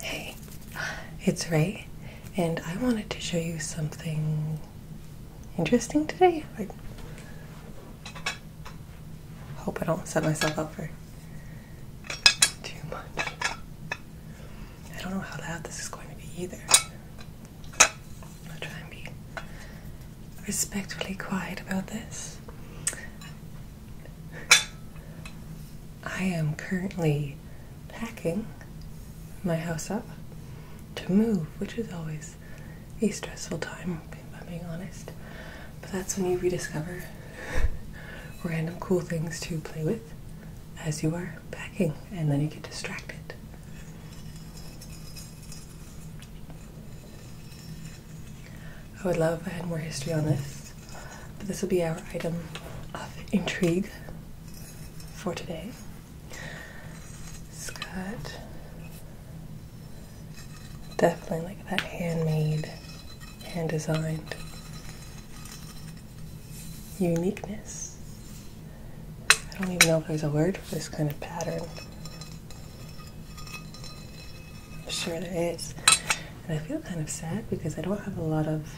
Hey, it's Ray, and I wanted to show you something interesting today. I hope I don't set myself up for too much. I don't know how loud this is going to be either. I'll try be respectfully quiet about this. I am currently packing my house up to move, which is always a stressful time, if I'm being honest. But that's when you rediscover random cool things to play with as you are packing, and then you get distracted. I would love if I had more history on this, but this will be our item of intrigue for today. Scott definitely like that handmade, hand designed uniqueness. I don't even know if there's a word for this kind of pattern. Sure, there is. And I feel kind of sad because I don't have a lot of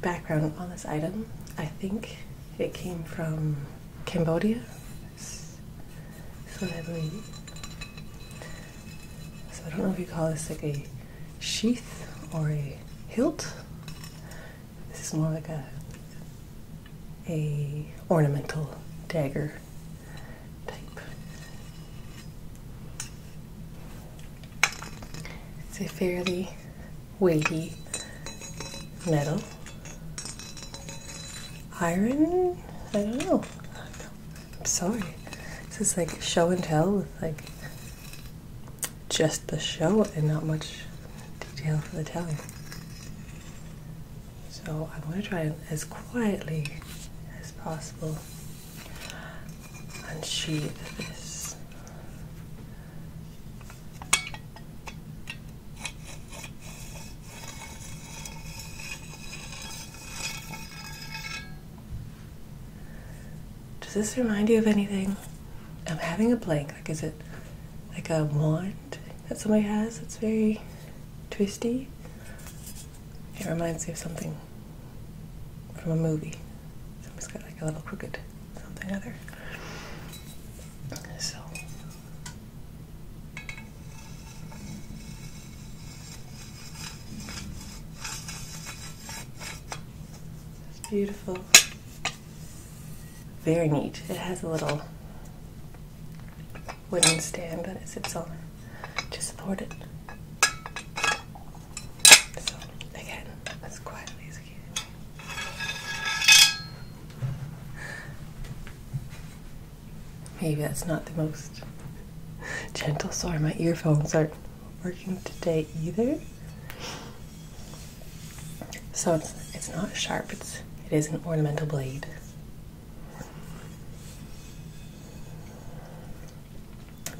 background on this item. I think it came from Cambodia. So I believe. So I don't know if you call this like a sheath or a hilt. This is more like a a ornamental dagger type. It's a fairly weighty metal. Iron? I don't know. I'm sorry. This is like show and tell with like just the show and not much detail for the telling. So I'm going to try as quietly as possible unsheathe this. Does this remind you of anything? I'm having a blank. Like, is it like a wand that somebody has that's very twisty. It reminds me of something from a movie. Somebody's got like a little crooked something other. So it's beautiful. Very neat. It has a little wooden stand that it sits on Just support it. So again, as quietly as Maybe that's not the most gentle. Sorry, my earphones aren't working today either. So it's it's not sharp. It's it is an ornamental blade.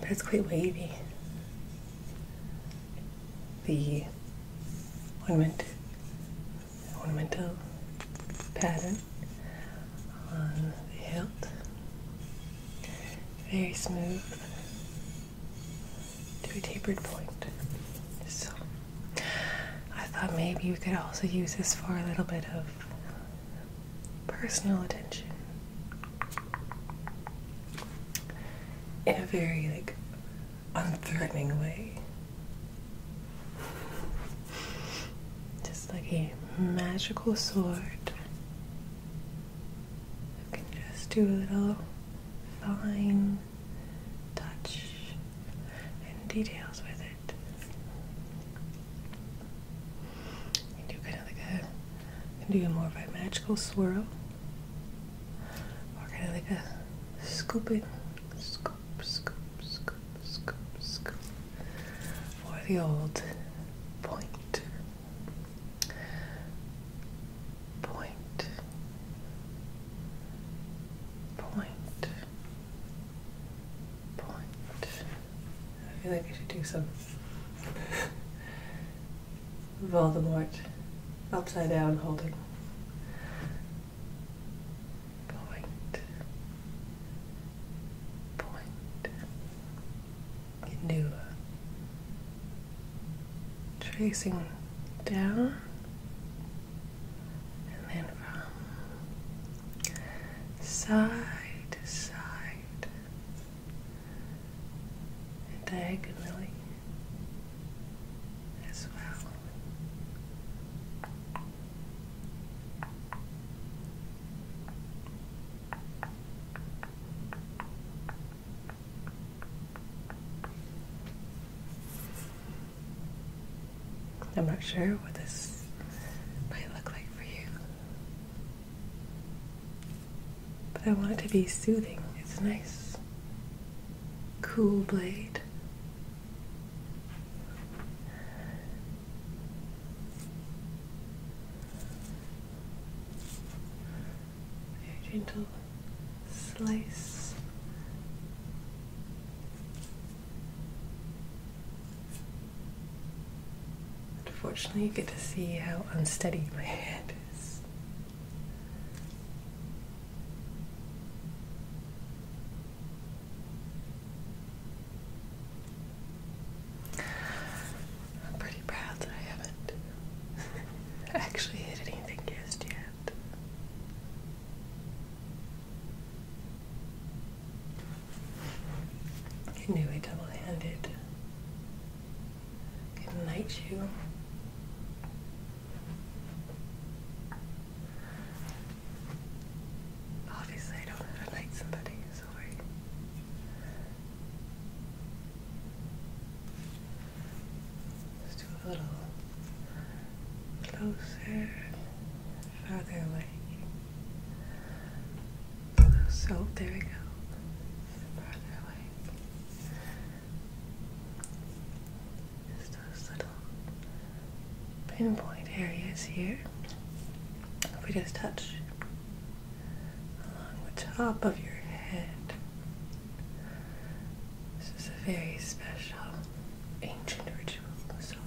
But it's quite wavy. The ornament ornamental pattern on the hilt. Very smooth to a tapered point. So I thought maybe you could also use this for a little bit of personal attention in a very like unthreatening way. Just like a magical sword you can just do a little fine touch and details with it. You do kind of like a, do more of a magical swirl, or kind of like a scooping, scoop, scoop, scoop, scoop, scoop, for the old point point, point, point. I feel like I should do some Voldemort upside down holding. Point, point. You can do tracing down and then from side to side and diagonally as well. I'm not sure what this might look like for you. But I want it to be soothing. It's nice, cool blade very gentle slice. Unfortunately, you get to see how unsteady my head is. I'm pretty proud that I haven't actually hit anything yet. Get double-handed. Get a Obviously, I don't know to knight somebody, sorry let do a little closer, farther away. So there we go. Farther away. Just those little pinpoint areas here. If we just touch along the top of your head. This is a very special ancient ritual massage.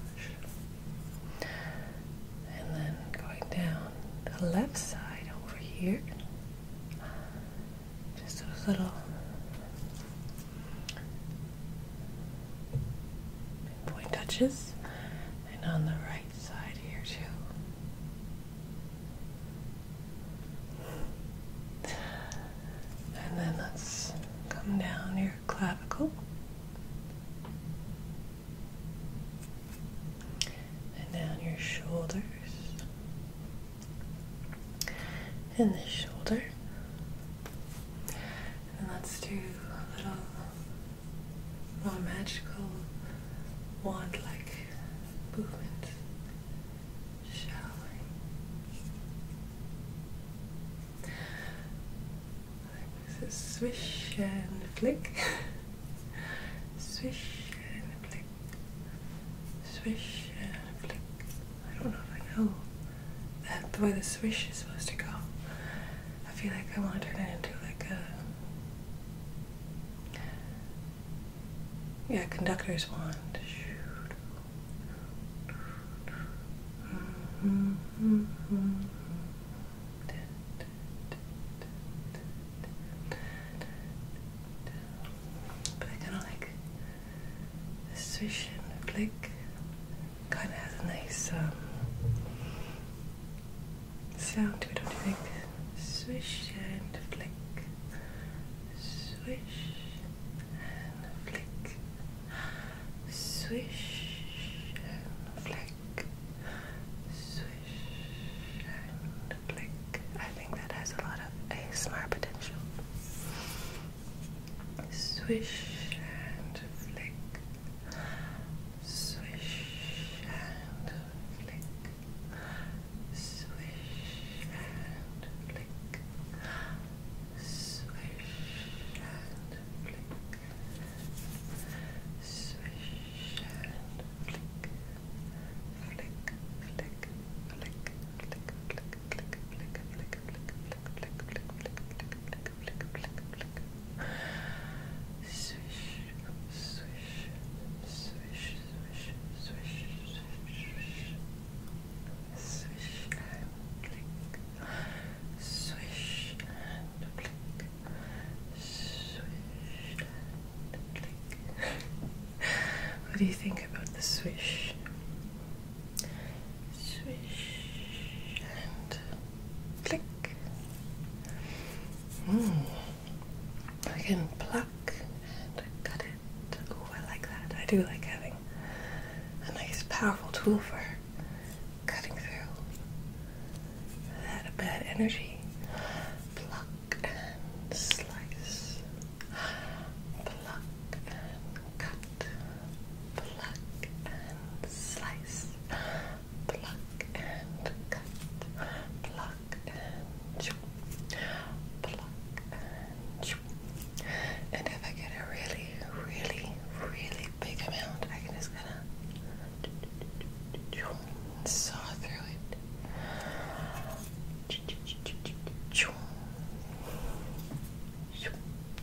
And then going down the left side over here, just those little point touches, and on the right side here too. And then let's come down your clavicle. And down your shoulders. And this shoulder. And let's do a little more magical wand like your movements, shall we? swish and flick, swish and flick, swish and flick. I don't know if I know that the way the swish is supposed to go. I feel like I want to turn it into like a yeah, conductor's wand. But I kind of like the swish and the flick. Kind of has a nice um, sound we don't do like Swish and flick. Swish and flick. Swish and flick. Swish and flick. I think that has a lot of ASMR potential. Swish and flick swish and flick, swish and flick, swish and flick, swish and flick, flick, flick, flick, flick, flick, flick, flick, flick, flick, flick, flick, flick, flick, flick, flick, flick, Swish, swish, swish, swish, swish, swish, swish and blink. Swish and blink. Swish and blink. what do you think about the swish? Swish and click. Mm. I can pluck and cut it. Oh, I like that. I do like having a nice, powerful tool for cutting through that bad energy. Pluck and slice. Pluck and cut. Pluck and slice pluck and cut, pluck and chew, pluck and chew. And if I get a really, really, really big amount, I can just kinda saw through it.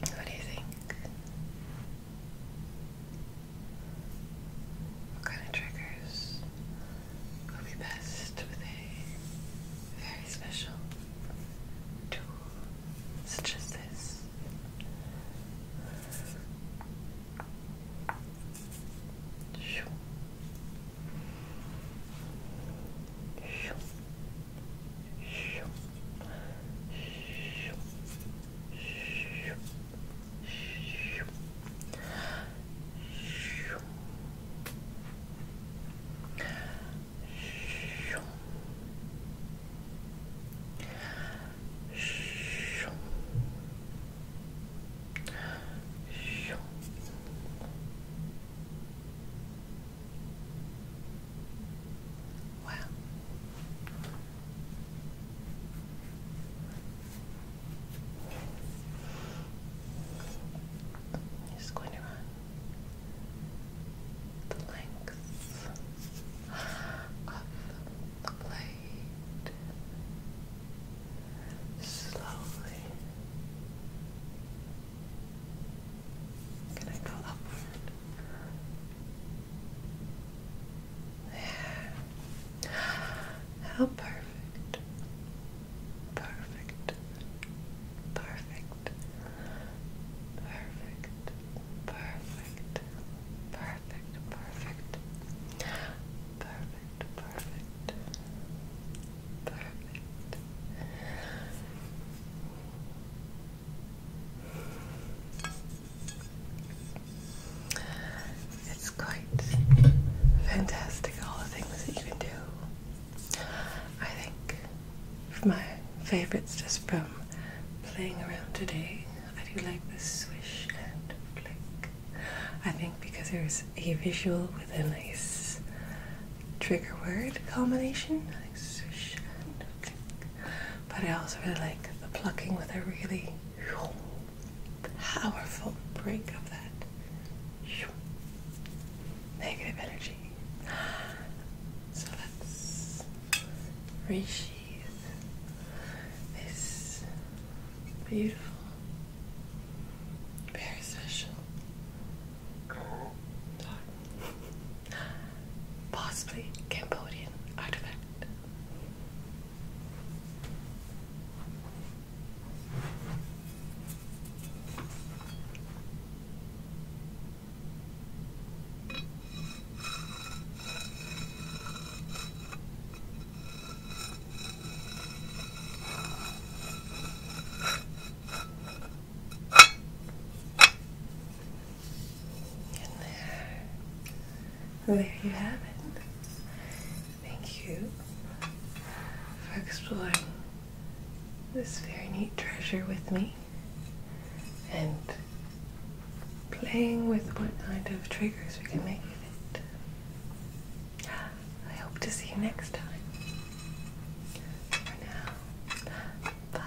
What do you think? What kind of triggers will be best with a very special tool such as this. Shoo. Shoo. Shoo. Shoo. Shoo. Shoo. Shoo. Wow. He's going to run the length of the blade slowly. Can I go upward? There. How perfect. Perfect. Perfect. Perfect. Perfect. Perfect. Perfect. Perfect. Perfect. Perfect. It's quite fantastic all the things that you can do. I think my favourites just from playing around today. I do like the swish and flick. I think because there's a visual with a nice trigger word combination, swish and flick. But I also really like the plucking with a really powerful break of that negative energy. So let's resheath this beautiful, very special possibly Cambodian artifact. And there, oh, there you have it. Thank you for exploring this very neat treasure with me and playing with what kind of triggers we can make with it. I hope to see you next time. For now, bye.